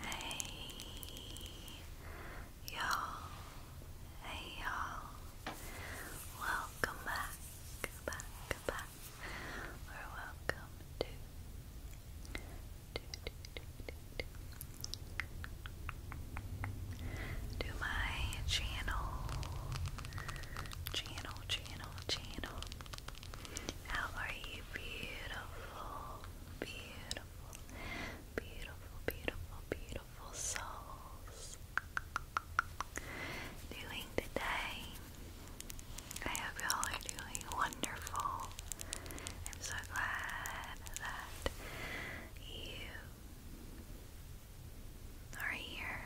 Hey y'all, hey y'all, welcome back, back, back, welcome to my channel, channel, channel, channel. How are you? Beautiful, beautiful, beautiful, beautiful, beautiful souls. Doing today. I hope y'all are doing wonderful. I'm so glad that you are here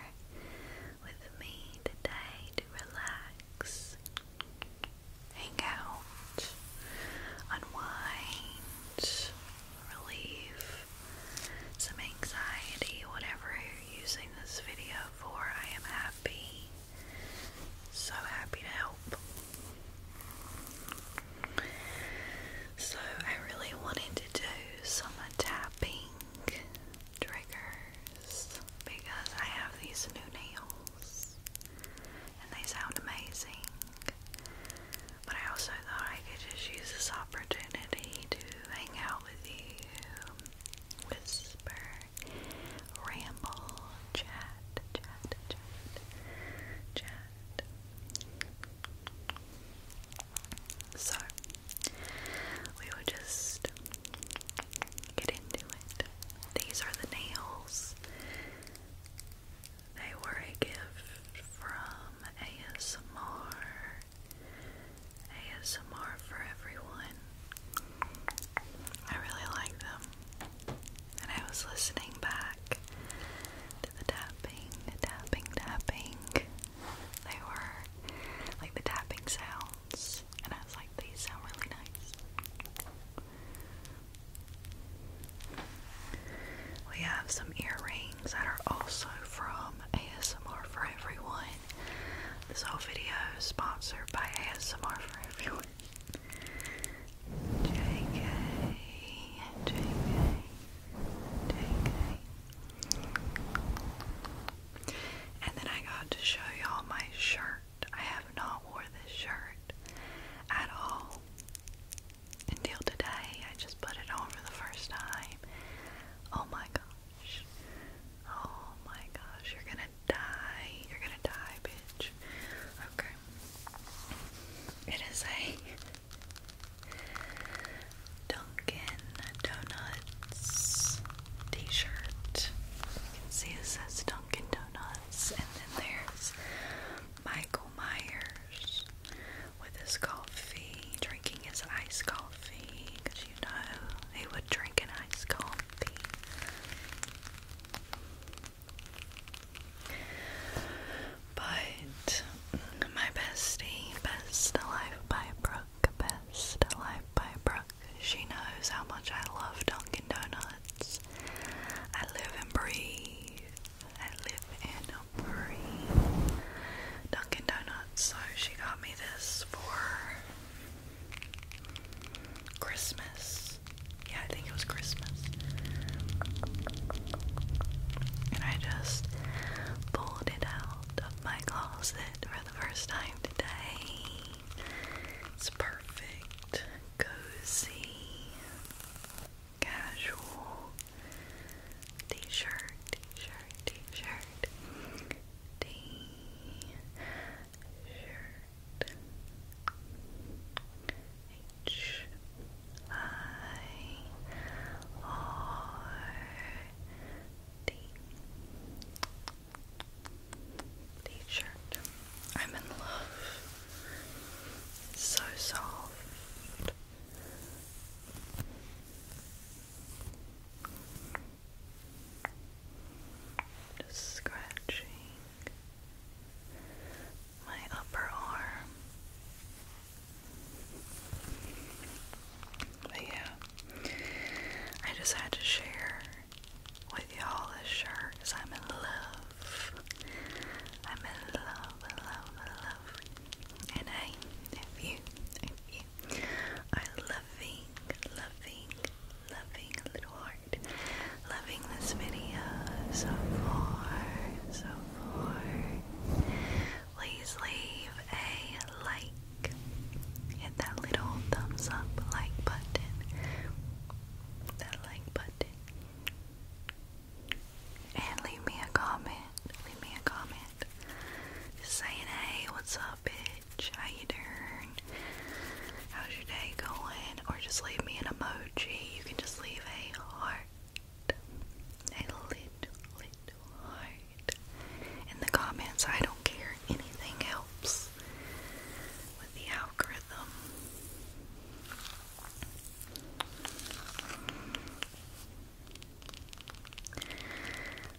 with me today to relax, hang out, unwind, relieve some anxiety, whatever you're using this video for. I am happy, so happy to help. So, I really wanted to do some tapping triggers because I have these new nails and they sound amazing. But I also thought I could just use this opportunity to hang out with you, whisper, ramble, chat, chat, chat, chat. So, we will just get into it. These are the nails. They were a gift from ASMR. ASMR for everyone. I really like them. And I was listening back to the tapping, tapping, tapping. They were like the tapping sound and I was like, these sound really nice. We have some earrings that are also from ASMR for Everyone. This whole video is sponsored by ASMR for Everyone. JK, JK, JK. And then I got to show y'all my shirt. I have not wore this shirt at all until today. I just put it on for the first time. Oh my gosh. Oh my gosh. You're gonna die. You're gonna die, bitch. Okay. It is a Duncan Donuts t shirt. You can see it says Dunkin' Donuts, and then there's Michael Myers with his coffee, drinking his iced coffee, because you know he would drink an iced coffee. But my bestie, Best Alive by Brooke, Best Alive by Brooke she knows how much I love Dunkin' Donuts. I live and breathe. I live and breathe Dunkin' Donuts. So she got me this for Christmas. Yeah, I think it was Christmas. And I just pulled it out of my closet for the first time today. It's perfect, cozy, casual t shirt, t shirt, t shirt, t shirt. H I R D t-shirt. I'm in love. so soft. Just scratching my upper arm. But yeah, I just had to share with y'all this shirt because I'm in love. I'm in love, love, love. And I, if you, if you are loving, loving, loving, little heart, loving this video so far, so far, please leave a like. Hit that little thumbs up like button. That like button. And leave me a comment. Leave me a comment. Just hey, what's up, bitch? How you doing? How's your day going? Or just leave me an emoji. You can just leave a heart. A little, little heart in the comments. I don't care. Anything helps with the algorithm.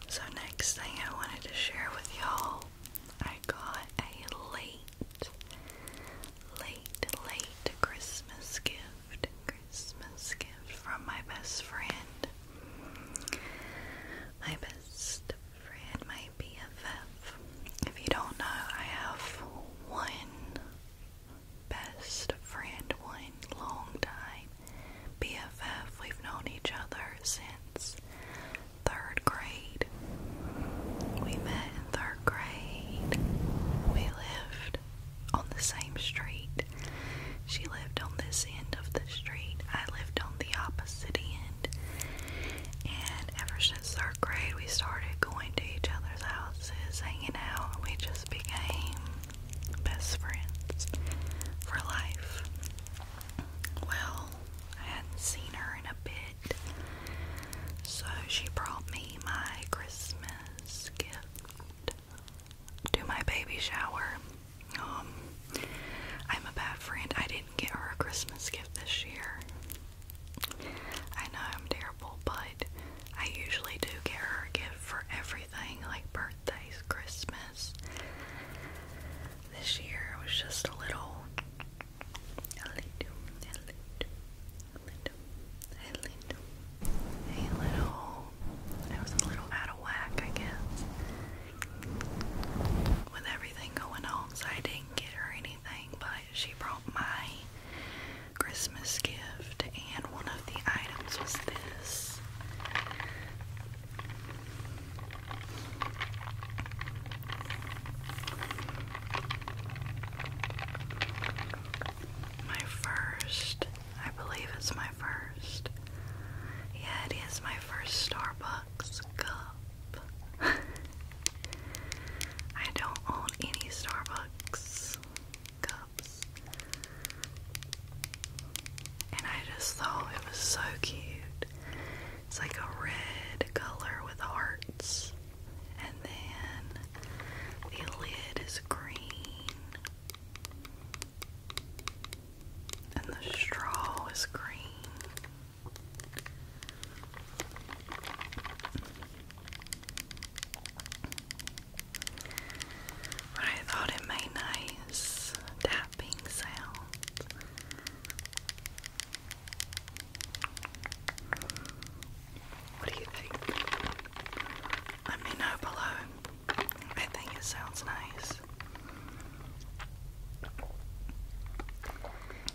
So, next thing I wanted to share with y'all, I got a late, late, late Christmas gift. Christmas gift from my best friend. My best Fred may be If you don't know, I have one best friend, one long time BFF. We've known each other since third grade. We met in third grade. We lived on the same street. She lived on this end of the street. I lived on the opposite end. And ever since third grade, we started going to each other's houses, hanging out, we just became best friends for life. Well, I hadn't seen her in a bit, so she brought me my Christmas gift to my baby shower. Um, I'm a bad friend. I didn't get her a Christmas gift this year. I know I'm terrible, but I usually do get her a gift for everything, like birthdays, Christmas. This year it was just a little, a little, a little, a little, a little. It was a little out of whack, I guess with everything going on, I didn't get her anything, but she brought my Christmas gift, and one of the items was this. My first, I believe it's my first. Yeah, it is my first Starbucks. Starbucks I don't own any Starbucks cups. And I just thought it was so cute. It's like a red color with hearts. And then the lid is green. And the straw is green. I thought it made nice tapping sound. What do you think? Let me know below. I think it sounds nice.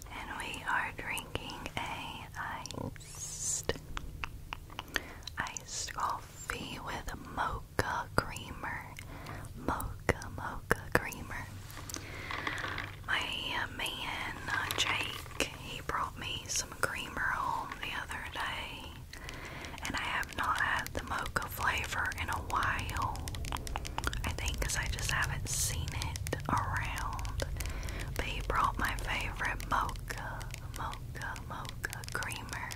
And we are drinking a iced iced coffee with mocha creamer. Mocha mocha creamer. My uh, man uh, Jake, he brought me some creamer home the other day. And I have not had the mocha flavor in a while. I think I just haven't seen it around. But he brought my favorite mocha, mocha, mocha creamer.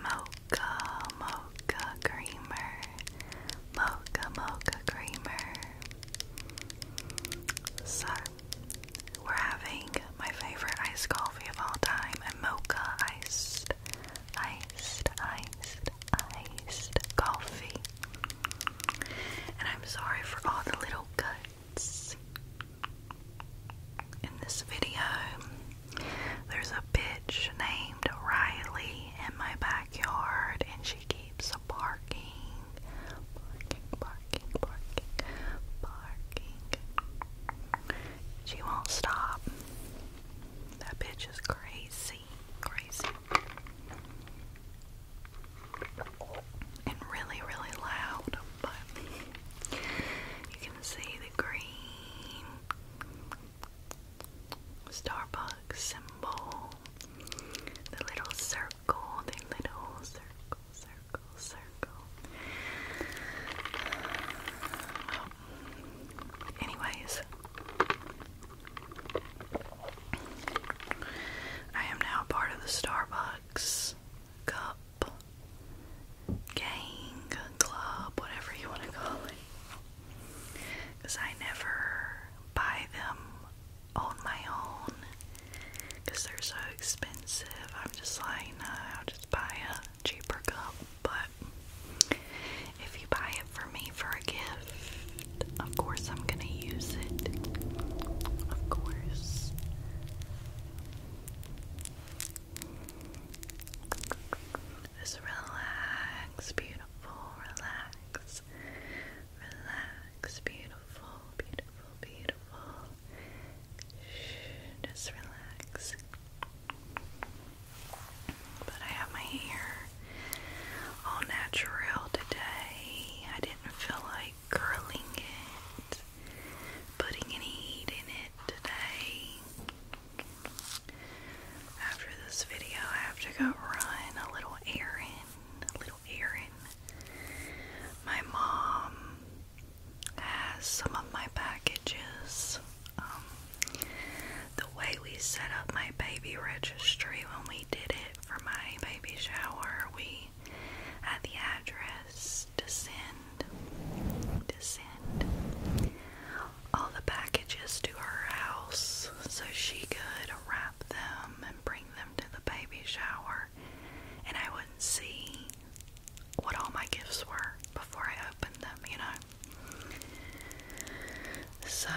Mocha, mocha creamer. Mocha, mocha creamer. So, we're having my favorite iced coffee of all time, a mocha iced, iced, iced, iced coffee. And I'm sorry for all the little cuts in this video. There's a bitch named Riley in my backyard, and she keeps barking, barking, barking, barking, barking. She won't stop. That bitch is crazy, crazy. And really, really loud, but you can see the green Starbucks symbol, the little circle, the little circle, circle, circle. Anyways, I am now part of the Starbucks Cup Gang Club, whatever you want to call it. Because I never buy them on my own because they're so expensive. I'm just like, no, I'll just buy a cheaper cup. But if you buy it for me for a gift, of course I'm gonna use it. Of course. Just relax, beautiful, relax. Relax, beautiful, beautiful, beautiful. Shh, just relax. But I have my hair all natural today. I didn't feel like curling it, putting any heat in it today. After this video, I have to go run a little errand. A little errand. My mom has some of my packages um, the way we set up my baby registry when we did it for my baby shower, we had the address to send, to send all the packages to her house so she could wrap them and bring them to the baby shower, and I wouldn't see what all my gifts were before I opened them, you know. So,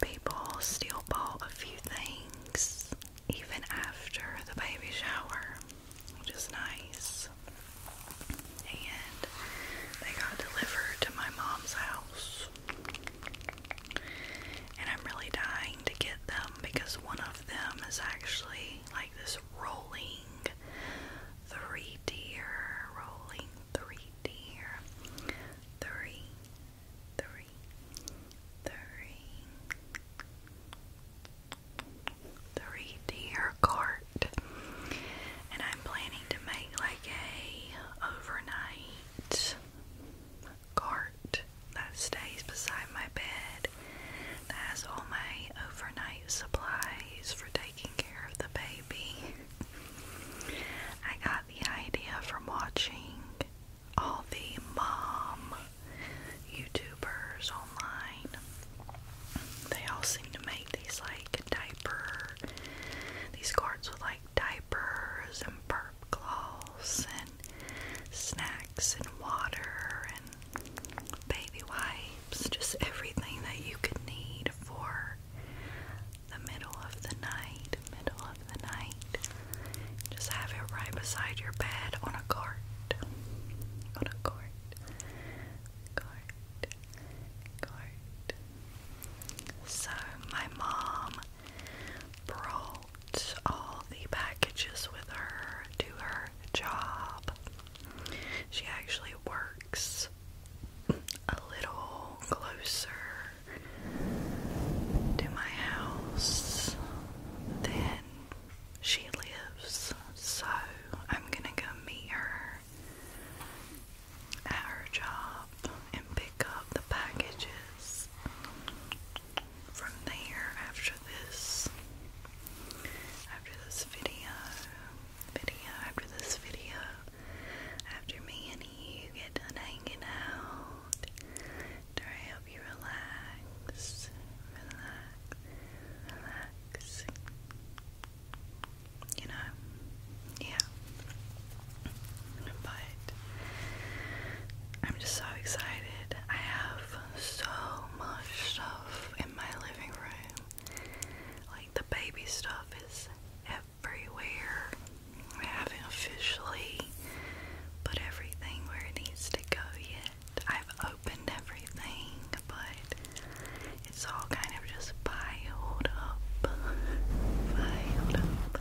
people still bought a few things even after the baby shower, which is nice. And they got delivered to my mom's house. And I'm really dying to get them because one of them is actually like this rolling three tier, rolling three dear. Three, three, three, three deer cart. And I'm planning to make like a overnight cart that stays beside my bed that has all my overnight supplies for taking care of the baby. I got the idea from watching all the mom YouTubers online. They all seem to make these like diaper, these cards with like diapers and burp cloths and snacks and water and baby wipes, just everything that you could need for the middle of the night, middle of the night. Just have it right beside your bed on a cart. On a cart. Cart. Cart. So my mom brought all the packages with her to her job. She actually works a little closer to my house than she lives, so I'm gonna go meet her at her job and pick up the packages from there after this after this video video after this video, after me and you get done hanging out, to help you relax, relax, relax. You know, yeah. But I'm just so excited. I have so much stuff in my living room. Like the baby stuff is everywhere. I haven't officially put everything where it needs to go yet. I've opened everything, but it's all kind of just piled up, piled up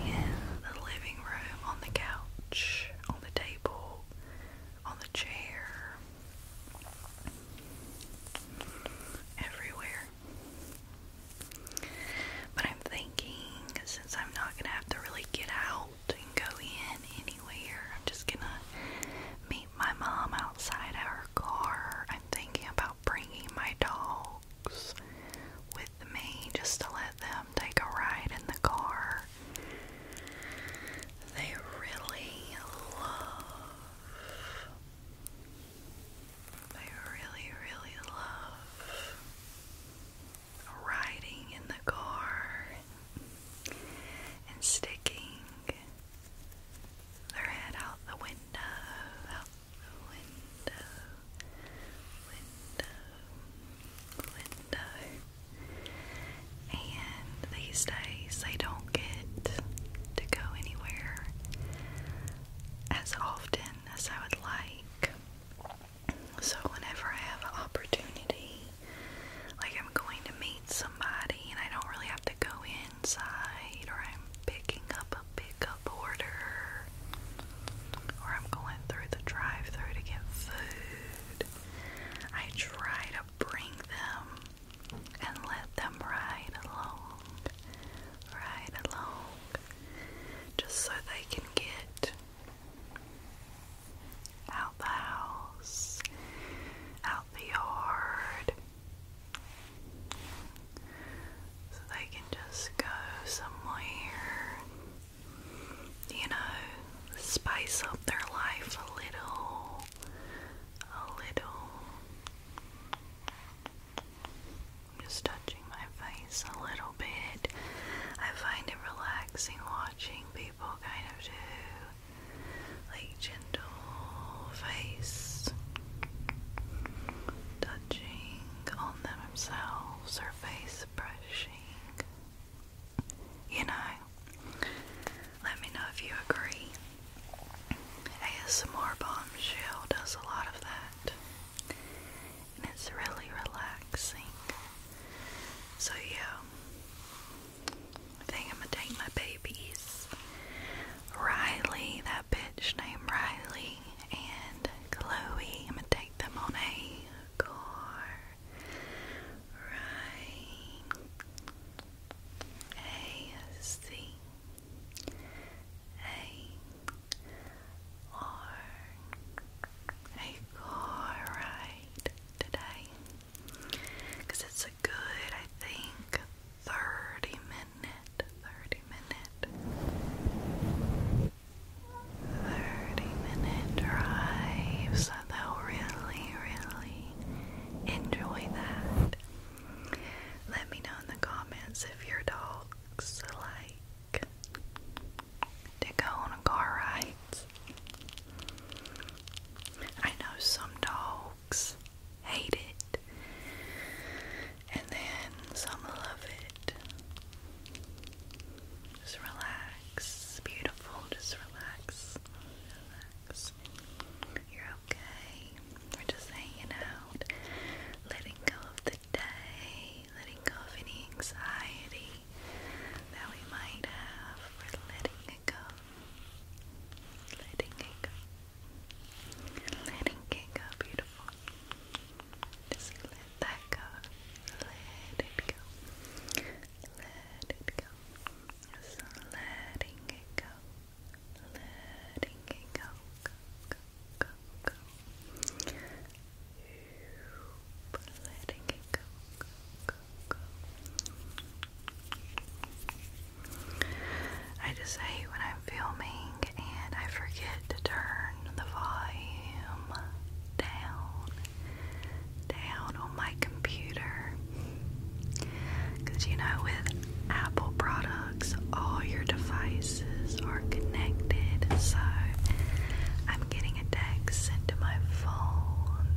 in the living room, on the couch, on the table, on the chair everywhere. But I'm thinking since I'm not gonna have to really get out and go in anywhere, I'm just gonna meet my mom outside our car. I'm thinking about bringing my dogs with me just to let them take a ride in the car. They really love I really, really love riding in the car and sticking their head out the window, out the window, window, window. And these days they don't to go anywhere as often as I would like. So, whenever I have an opportunity, like I'm going to meet somebody and I don't really have to go inside, or I'm picking up a pickup order, or I'm going through the drive through to get food, I try to bring them and let them ride along, ride along, just so they can get out the house, out the yard, so they can just go somewhere, you know, spice up their life a little a little. I'm just touching my face a little bit. I find it relaxing watching people kind of do like gentle face touching on themselves or face brushing. You know, let me know if you agree. ASMR Bombshell does a lot of that, and it's really relaxing. So, yeah, I think I'm gonna take my babies Riley, that bitch named Riley, and Chloe. I'm gonna take them on a car ride. A C a or car ride today it's a good, I think, 30 minute, 30 minute. 30 minute drive, so they'll really, really enjoy that. Let me know in the comments if your dogs like to go on a car ride. I know some dogs hate it, and then some love it. Just relax, beautiful, just relax, relax okay? We're just hanging out, letting go of the day, letting go of any anxiety that we might have. We're letting it go, letting it go, letting it go, beautiful. Just let that go, let it go, let it go. Just letting it go, letting it go, go, go, go, go. Letting it go, go, go, go. I just hate when I'm filming and I forget to turn the volume down, down on my computer. Because you know, with Apple products, all your devices are connected. So I'm getting a text sent to my phone,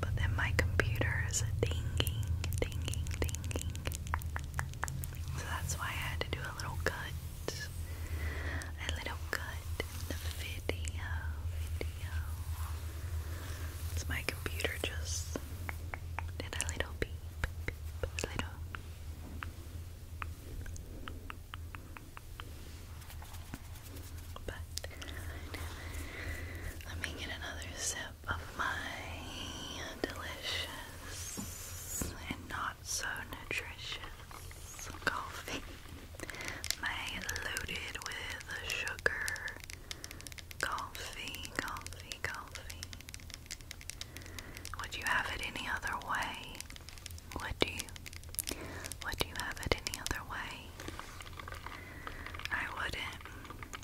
but then my computer is dinging, dinging, dinging. So that's why I had to do a little cut, a little cut in the video. It's my computer just did a little bit, beep, little. But let me get another sip of my delicious and not so nutritious coffee. My loaded with sugar Coffee, coffee, coffee. Would you have it any other way? Would you? Would you have it any other way? I wouldn't.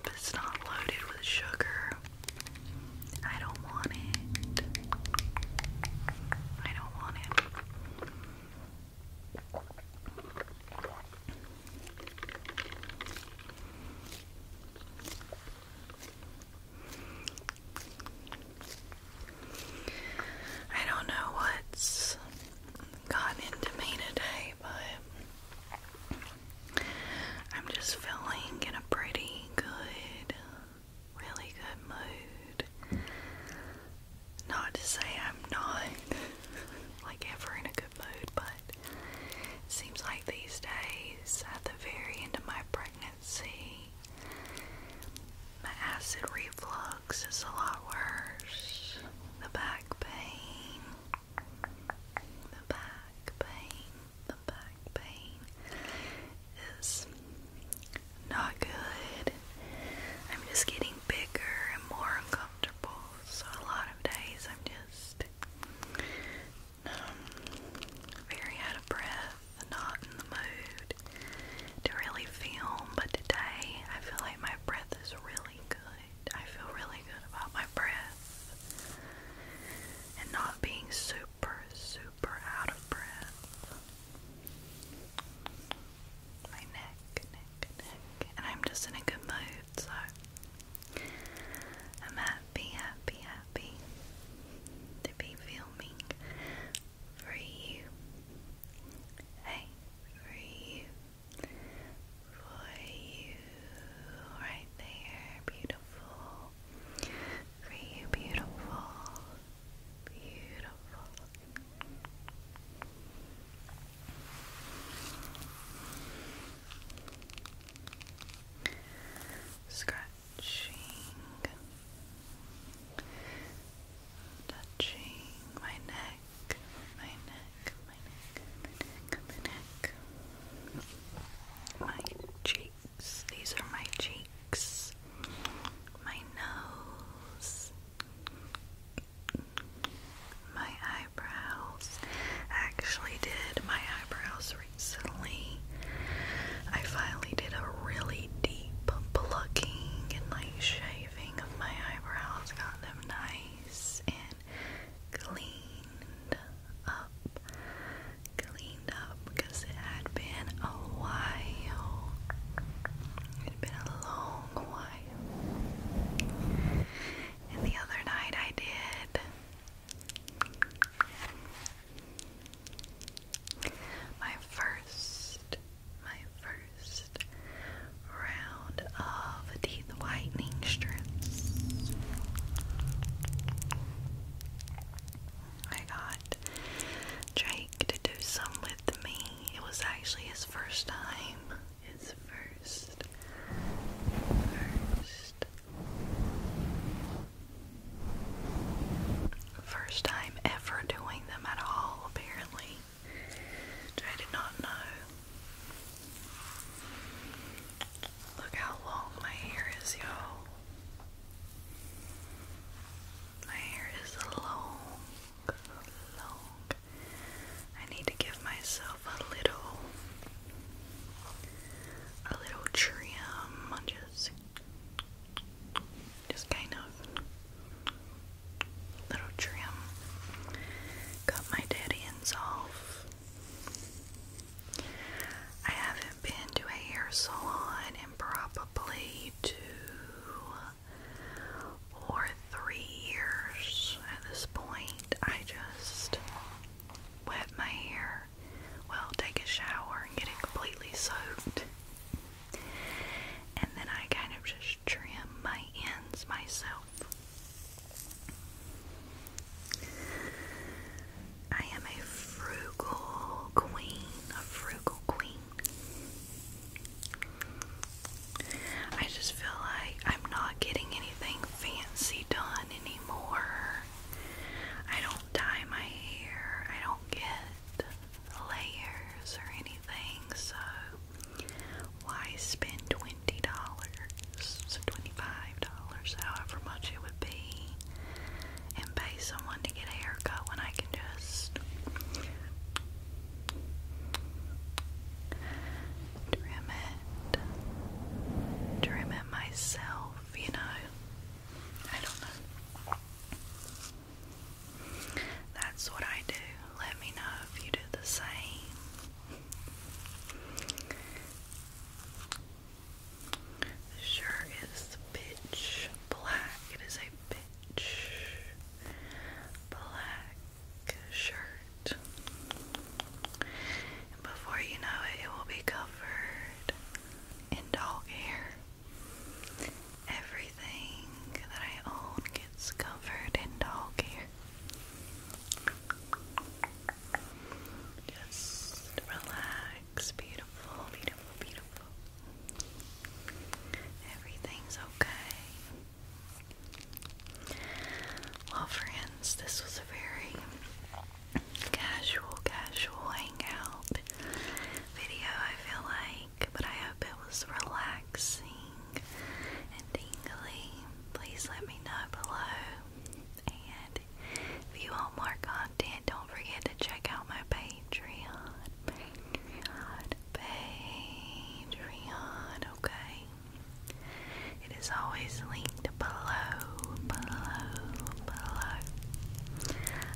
If it's not loaded with sugar, I don't want it. I don't want it. I don't know what's gotten into me today, but I'm just feeling in a pretty good, really good mood. Not to say I'm not like ever in a good mood, but it seems like these days, at the very end of my pregnancy, my acid reflux is a lot worse. The back pain, the back pain, the back pain is not good. I'm just getting bigger and more uncomfortable. So, a lot of days I'm just um, very out of breath, not in the mood to really film, but today I feel like my breath is really good. I feel really good about my breath and not being super, super out of breath. My neck, neck, neck, and I'm just in a good mood, so I'm happy, happy, happy to be filming for you. Hey, for you. For you. Right there. Beautiful. For you, beautiful. Beautiful. Scratching, touching my neck, my neck, my neck, my neck, my cheeks. These are my cheeks, my nose, my eyebrows. actually did my eyebrows recently. I finally did a really deep plucking and like shaving of my eyebrows, got them nice and cleaned up. Cleaned up because it had been a while. It had been a long while. And the other night I did my first, my first round of teeth whitening strips. I got Drake to do some with me. It was actually his first time. His first, first First time ever doing them at all, apparently. I did not know. Look how long my hair is, y'all. My hair is long, long. I need to give myself a little a little trim just just kind of little trim got my dead ends off I haven't been to a hair salon in probably two or three years at this point. I just wet my hair, well, take a shower and get it completely soaked. And then I kind of just trim my ends myself. I am a frugal queen, a frugal queen. I just feel like I'm not getting anything fancy done anymore. I don't dye my hair. I don't get layers or anything. So why spend twenty dollars, twenty-five dollars, however much it would be, and pay someone to get a haircut when I can just trim it, trim it myself, you know. I don't know. That's what I do. Let me know if you do the same. The shirt is pitch black. It is a pitch black shirt before you know it, it will be covered in dog hair. Everything that I own gets covered in dog hair. Just relax, beautiful, beautiful, beautiful. Everything's okay. Well, friends, this was a very casual, casual hangout video, I feel like, but I hope it was relaxing and tingly. Please let me know below. And if you want more content, don't forget to check out my Patreon. Patreon. Patreon, okay? It is always linked below, below, below.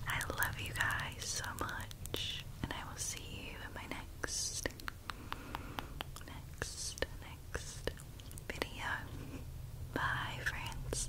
I love you guys so much, and I will see you in my next, next, next video. Bye, friends.